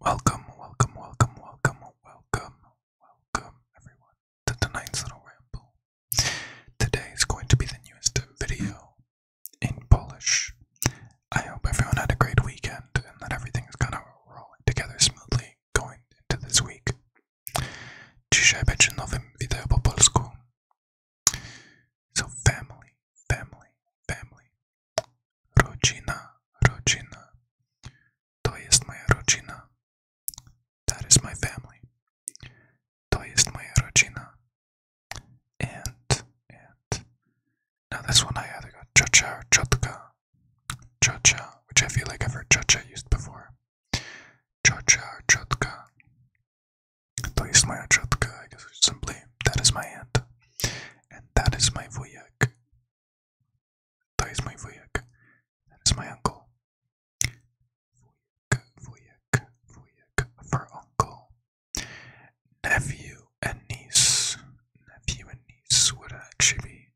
Welcome, welcome, welcome, welcome, welcome, welcome, everyone, to tonight's little ramble. Today is going to be the newest video in Polish. I hope everyone had a great weekend and that everything is kind of rolling together smoothly going into this week. Dzisiaj będzie nowym video po polsku. So, family, family, family. Rodzina, rodzina. To jest moja rodzina. That is my family. To jest moja rodzina. And, and. Now this one I either got cha-cha or chotka. Cha-cha, which I feel like I've heard cha-cha used before. Cha-cha or chotka. To I guess simply, that is my aunt. And that is my Vuyak. That is my Vuyak. That is my uncle. Vuyak, Vuyak, Vuyak for uncle. Nephew and niece. Nephew and niece would actually be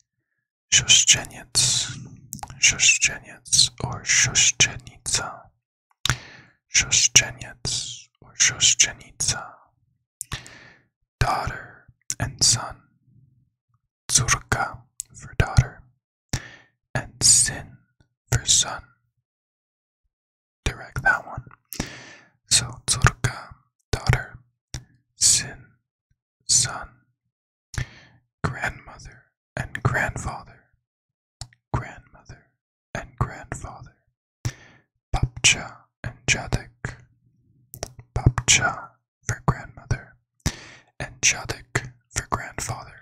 Shoshcheniets. Shoshcheniets or Shoshchenitsa. Shoshcheniets or Shoshchenitsa. Daughter and son. Zurka for daughter, and Sin for son. Direct that one. So Zurka, daughter, Sin, son, grandmother and grandfather, grandmother and grandfather, Papcha and Jadak, Papcha for grandmother, and Jadak for grandfather.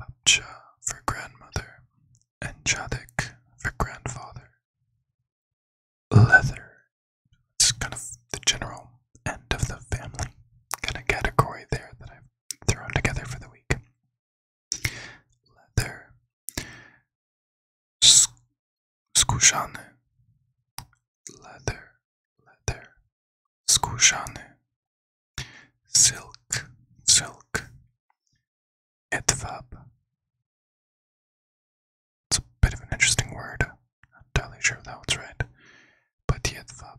Papcha for grandmother, and Jadak for grandfather. Leather. It's kind of the general end of the family kind of category there that I've thrown together for the week leather, skórzany, leather, leather, skórzany, silk, silk, edwab. It's a bit of an interesting word. Not entirely sure if that one's right, but edwab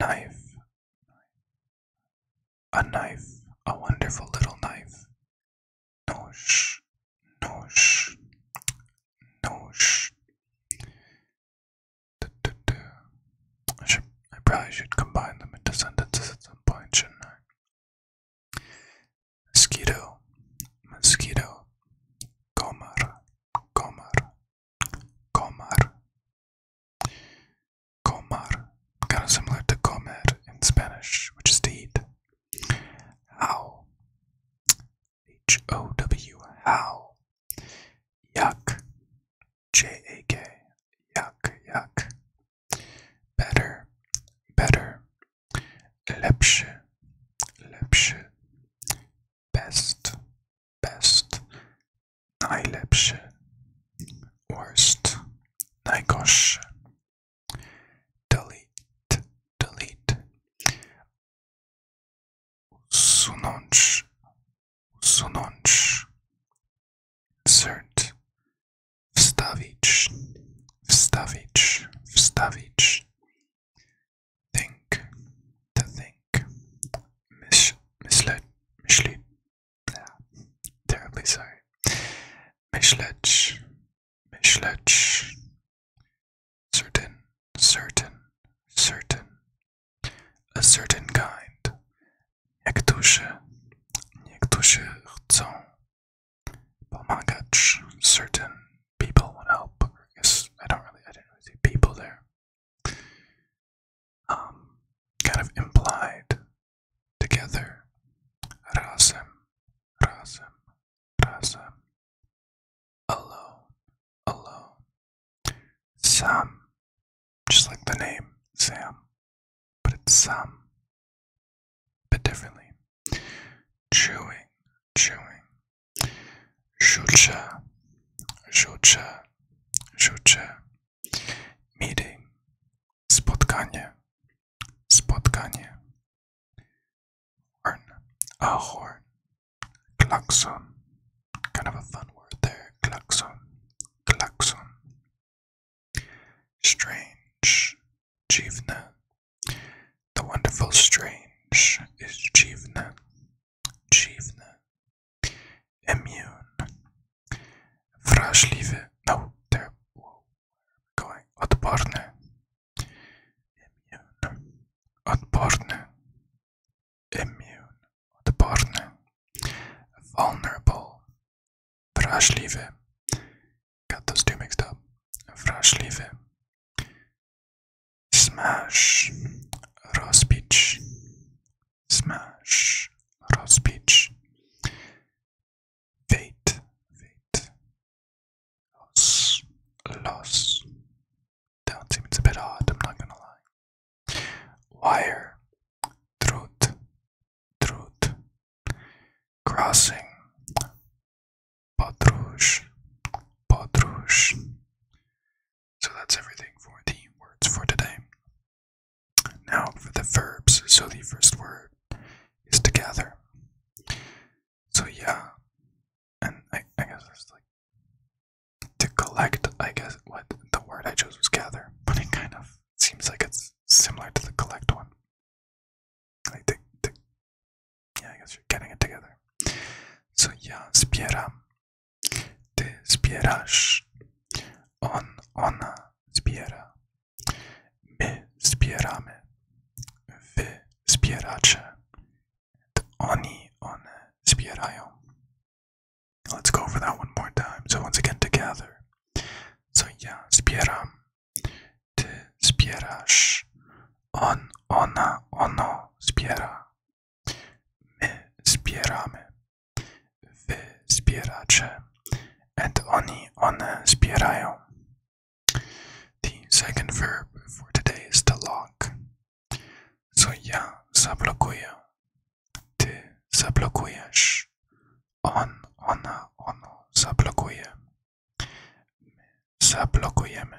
Knife. A knife. A wonderful little knife. Nosh. Nosh. Nosh. Du -du -du. I, should, I probably should combine them into sentences at some point, shouldn't I? Mosquito. Mosquito. Comar. Comar. Comar. Comar, kind of similar to comer in Spanish, which is to eat. How? H O W, how? Yuck. J A K, yuck, yuck. Better, better. Lepsche, lepsche best, best, najlepszy, worst, najgorszy, delete, delete, usunąć, usunąć, insert, wstawić, wstawić, wstawić, think, to think think mis misled misled yeah, terribly sorry misled misled certain certain certain a certain kind niektórzy niektórzy chcą pomagać certain people want help yes I don't really I do not really see people there um, kind of implied together. Rasim, Rasim, Rasim. Alone, alone. Sam, just like the name Sam, but it's Sam, but differently. Chewing, chewing, Rzucę, rzucę, rzucę. Meeting, spotkanie, spotkanie. Horn, a horn, klaxon. Kind of a fun word there, klaxon, klaxon. Strange, dziwne. The wonderful strange is dziwne dziwny, immune, wrażliwy, no, there, whoa, going, odporny, immune, odporny, immune, odporny, vulnerable, wrażliwy, got those two mixed up, wrażliwy, Smash roast beef. Smash roast beef. Fate. Fate. Loss. Loss. Down seems a bit hard. I'm not gonna lie. Wire. Truth. Truth. Crossing. Patrouche. Patrouche. So that's everything for the words for today. Now for the verbs. So the first word is "together." So yeah, and I, guess it's like to collect. I guess what the word I chose was gather, but it kind of seems like it's similar to the collect one. Yeah, I guess you're getting it together. So yeah, zbieram. Ty zbierasz. On, ona zbiera. Uh, My zbieramy. Wy zbieracie. And oni, one zbierają. Uh, Let's go over that one more time. So once again, together. So yeah, zbieram. Ty zbierasz. On, ona, ono zbiera. My zbieramy. Wy zbieracie. And oni, one zbierają. The second verb for today is to lock. So ja zablokuję. Ty zablokujesz. On, ona, ono zablokuje. My zablokujemy.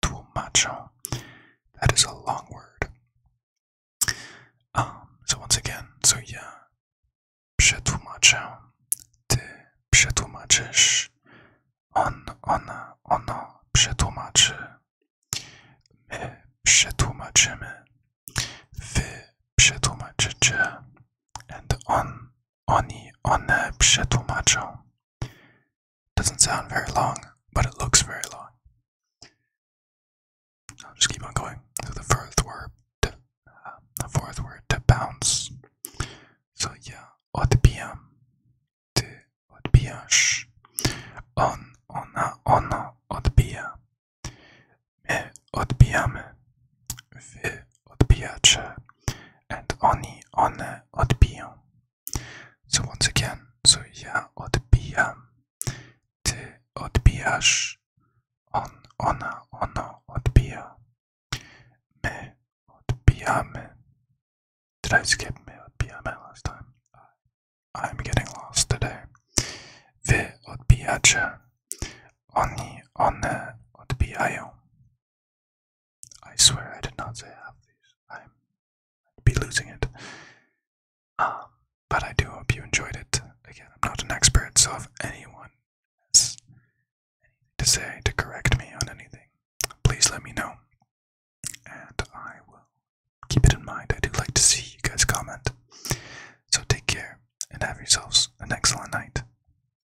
Tłumaczą. That is a long word. Um, so once again, so yeah. Przetłumaczę. Ty przetłumaczysz. On, ona, ono przetłumaczy. My przetłumaczymy. Wy przetłumaczycie. And on, Oni, one przetłumaczą. Doesn't sound very long, but it looks very long. I'll just keep on going. So the fourth word, to, uh, the fourth word to bounce. So yeah, odbijam, ty odbijasz. On, ona, ono odbija. My odbijamy. Wy odbijacze, and oni, one odbiją. So once again, so ja odbijam, ty odbijasz, on, ona, ono odbija, my odbijamy. Did I skip me odbijamy last time? I'm getting lost today. Wy odbijacie, oni, one odbijają. I swear I did not say half these. i would be losing it. Um, but I do hope you enjoyed it. Again, I'm not an expert, so if anyone has anything to say to correct me on anything, please let me know. And I will keep it in mind. I do like to see you guys comment. So take care and have yourselves an excellent night.